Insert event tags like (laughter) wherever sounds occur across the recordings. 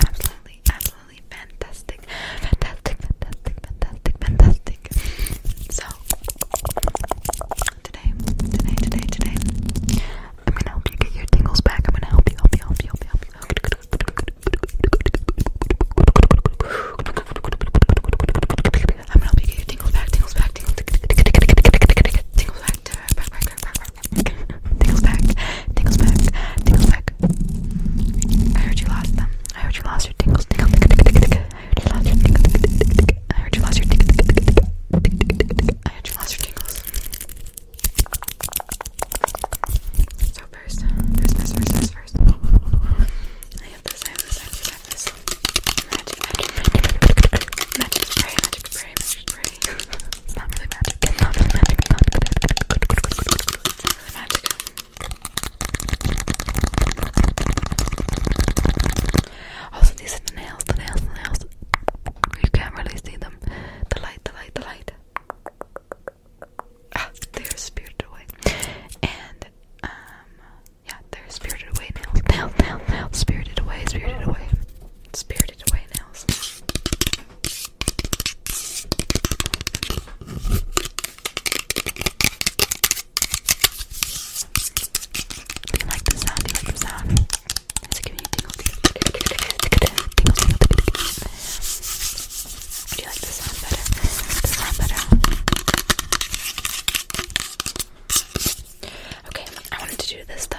absolutely, absolutely fantastic, fantastic, fantastic, fantastic, fantastic. So today, today, today, today, I'm gonna help you get your tingles back. I'm gonna help you, help you, help you, help you. Help you. I'm gonna help you get your tingles back, tingles back, tingles, back, tingles back, back, back, back, back, back, Tickles back, tickles back, tickles back. I heard you lost them. I heard you lost your tingles, tingle, tickle, tickle, I heard you lost your tingles, tickle, tickle, I heard you lost your tingles, tickle, tickle, I heard you lost your tingles. So first, first, first, first, first, I have this, I have this, I have this, I have this. Magic, magic, magic, magic spray, magic spray, magic it's not really magic. It's not really magic. It's not really magic. It's not really magic. Also, these are the nails, the nails, the nails. You can't really see them. The light, the light, the light. Ah, they're spirited away. And, um, yeah, they're spirited away nails. Nails, nails, nails. Spirited away, spirited away. Spirited away nails. Do you like the sound? Do you like the sound? Is giving you Tingles, tingles. Do you like the sound better? The sound better. Okay, I wanted to do this though.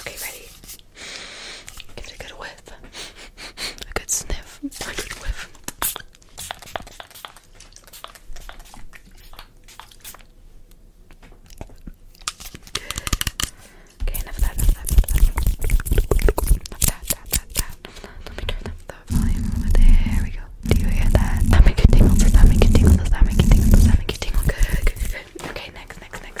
Okay, ready? Give it a good whiff. A good sniff. A good whiff. Okay, enough of that, enough of that, enough of that. Let me turn up the volume there. we go. Do you hear that? That make you tingle. that make you tingle? Does that make you tingle? Does that make you tingle? good. Okay, next, next, next.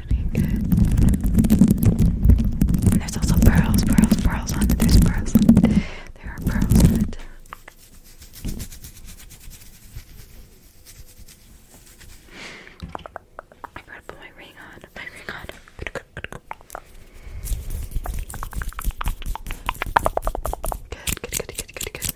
And there's also pearls, pearls, pearls on it. There's pearls on it. There are pearls on it. I gotta put my ring on. My ring on. Good, good, good, good, good, good.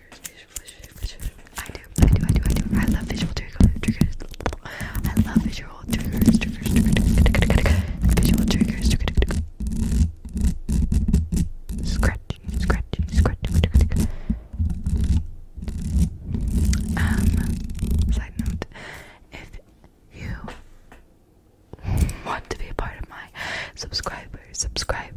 for visual triggers. I do, I do, I do, I do. I love visual triggers. triggers. I love visual triggers. Triggers, triggers, triggers, triggers. Visual triggers. Triggers. Scratchy, scratchy, scratchy, scratchy. Um, side note, if you want to be a part of my subscriber, subscribe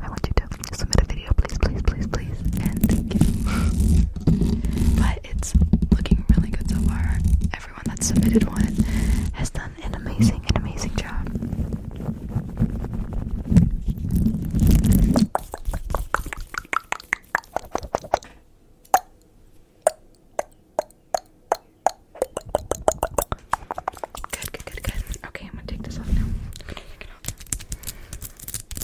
I want you to submit a video, please, please, please, please, and thank you. (laughs) But it's looking really good so far. Everyone that submitted one has done an amazing, an amazing job. Good, good, good, good. Okay, I'm gonna take this off now.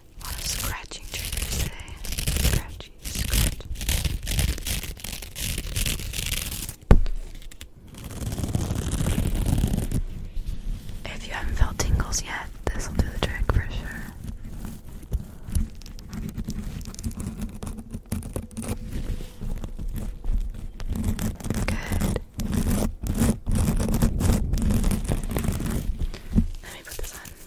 A lot scratching triggers today. Scratchy, scratch. If you haven't felt tingles yet, this will do the trick for sure. Good. Let me put this on.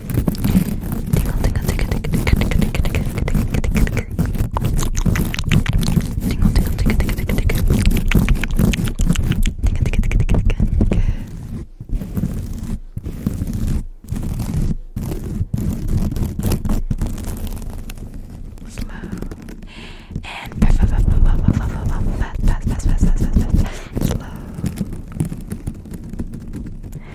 Slow and fast, fast, fast, fast, fast, fast, slow.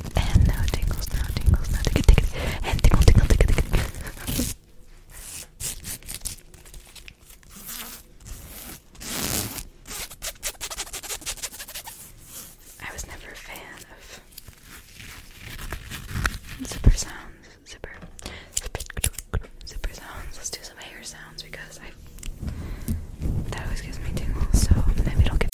tick, and no tingles, no tingles, no tick, tick, and tingle, tingle, tick, tick. Okay. I was never a fan of zipper sounds, zipper, zipper, zipper sounds. Let's do some hair sounds because I that always gives me tingles. So maybe don't get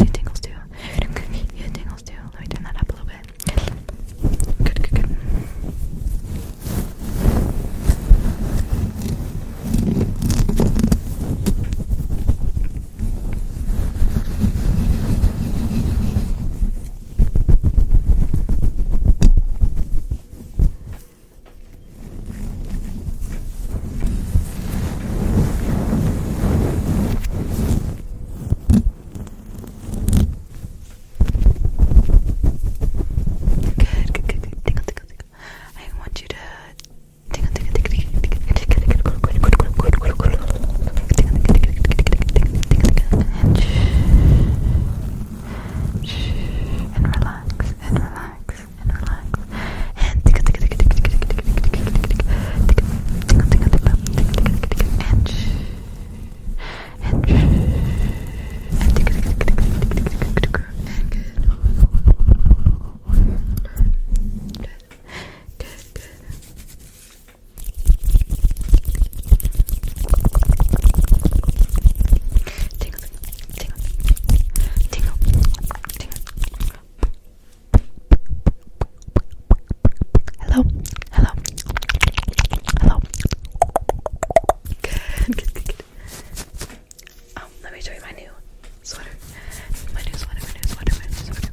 It tingles too. It tingles too. Let me turn that up a little bit. Good, good, good. Good, good, good, good. Tingle, tingle, tingle. I want you to tingle, tingle, tingle, tingle, tingle, tingle, tingle, tingle, tingle, tingle, and relax, and relax, and relax. And and shh. and shh. and good. Good. Good, good. Tingle, tingle, tingle, tingle. Hello, hello, hello. Um, let me show you my new sweater. My new sweater, my new sweater, my new sweater.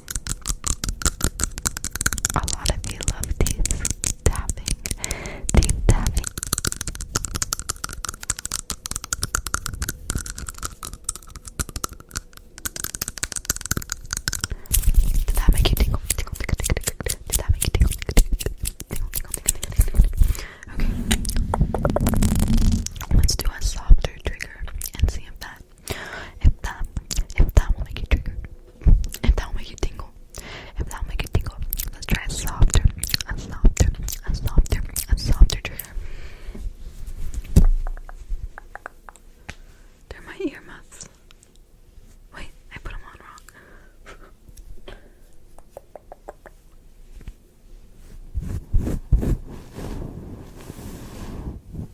A lot of you love teeth tapping, teeth tapping. Did that make you tingle? Tingle, tingle, tingle, tingle. Did that make you tingle? Tingle, tingle, tingle, tingle, tingle. Okay. Let's do a softer trigger and see if that if that, if that will make you triggered, if that will make you tingle, if that will make you tingle, let's try softer, a softer, a softer, a softer trigger. They're my earmuffs. Wait, I put them on wrong.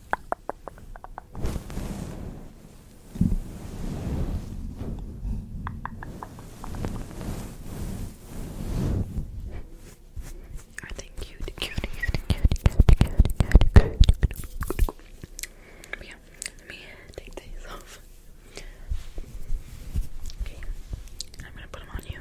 Are they cute? Cute, cute, cute, cute, cute, cute, Yeah, let me take these off. Okay, I'm gonna put them on you.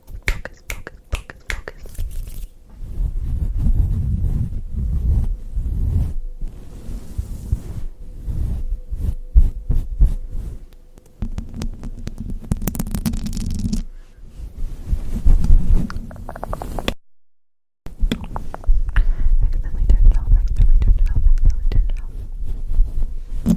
Focus, focus, focus, focus. Accidentally turned it off, accidentally turned it off, accidentally turned it off.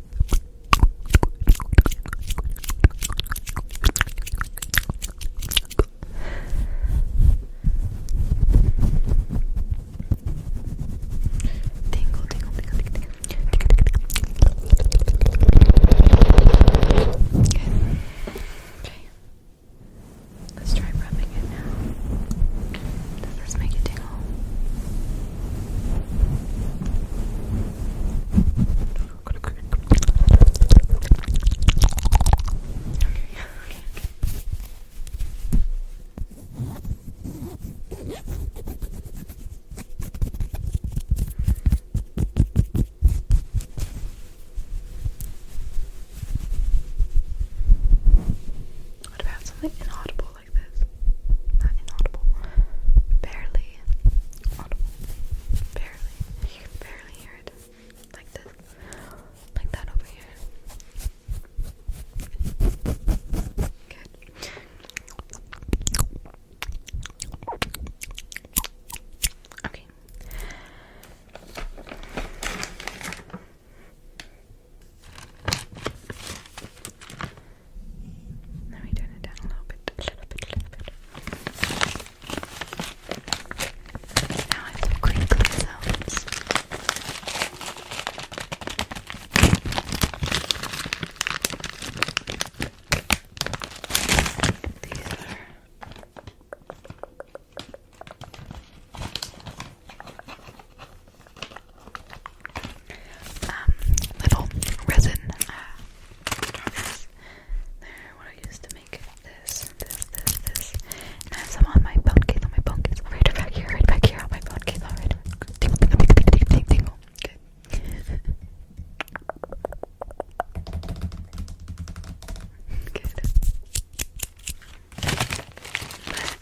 Tingle, tingle, tingle, tingle. Okay. Okay. Let's try rubbing it now. Does this make it tingle? What about something inaudible? like this. Not inaudible. Barely audible. Barely. barely hear it. Like this. Like that over here. Good. Okay. Let me turn it down a little bit, a little bit, a little bit. Now I have crinkly These are um, little resin They're uh, what I used to make this, this, this, this. And I have on my phone case, on my phone case. Right back here, right back here on my phone case. Alright, Good. Good.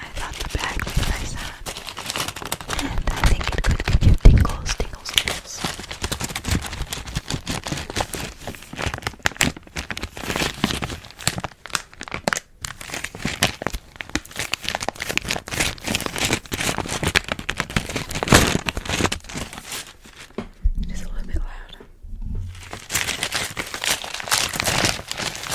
I thought the bag was nice on, and I think it could give you tingles, tingles, tingles. Just a little bit louder.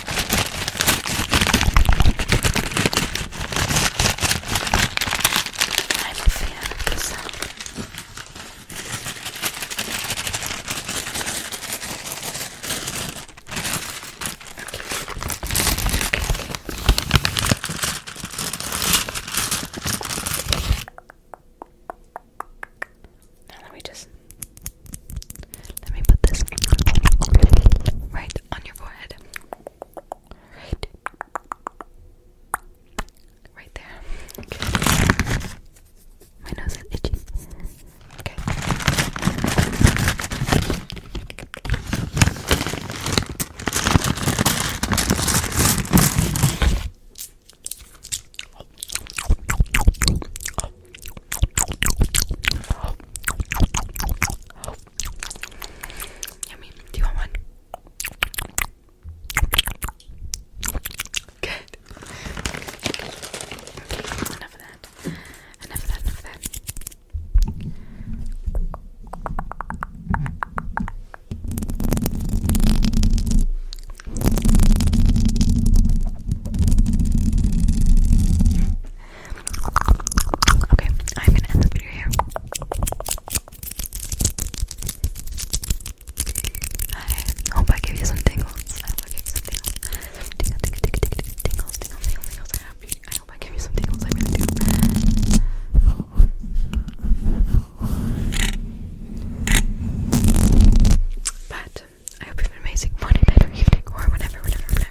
I'm a fan of the sound. Now let me just let me put this right on your forehead. Right. there. My nose is itchy. Okay. Yummy. Do you want one? Good. Okay, enough of that. Enough of that, enough of that. Okay, I'm gonna end this video here. I hope I gave you some tingles. I hope I gave you some tingles. Tingle, tingle, tingle, tingle, tingles, tingles. I hope, I gave you some tingles. I really do. But I hope you have an amazing morning, night, or evening, or whenever, whenever, whenever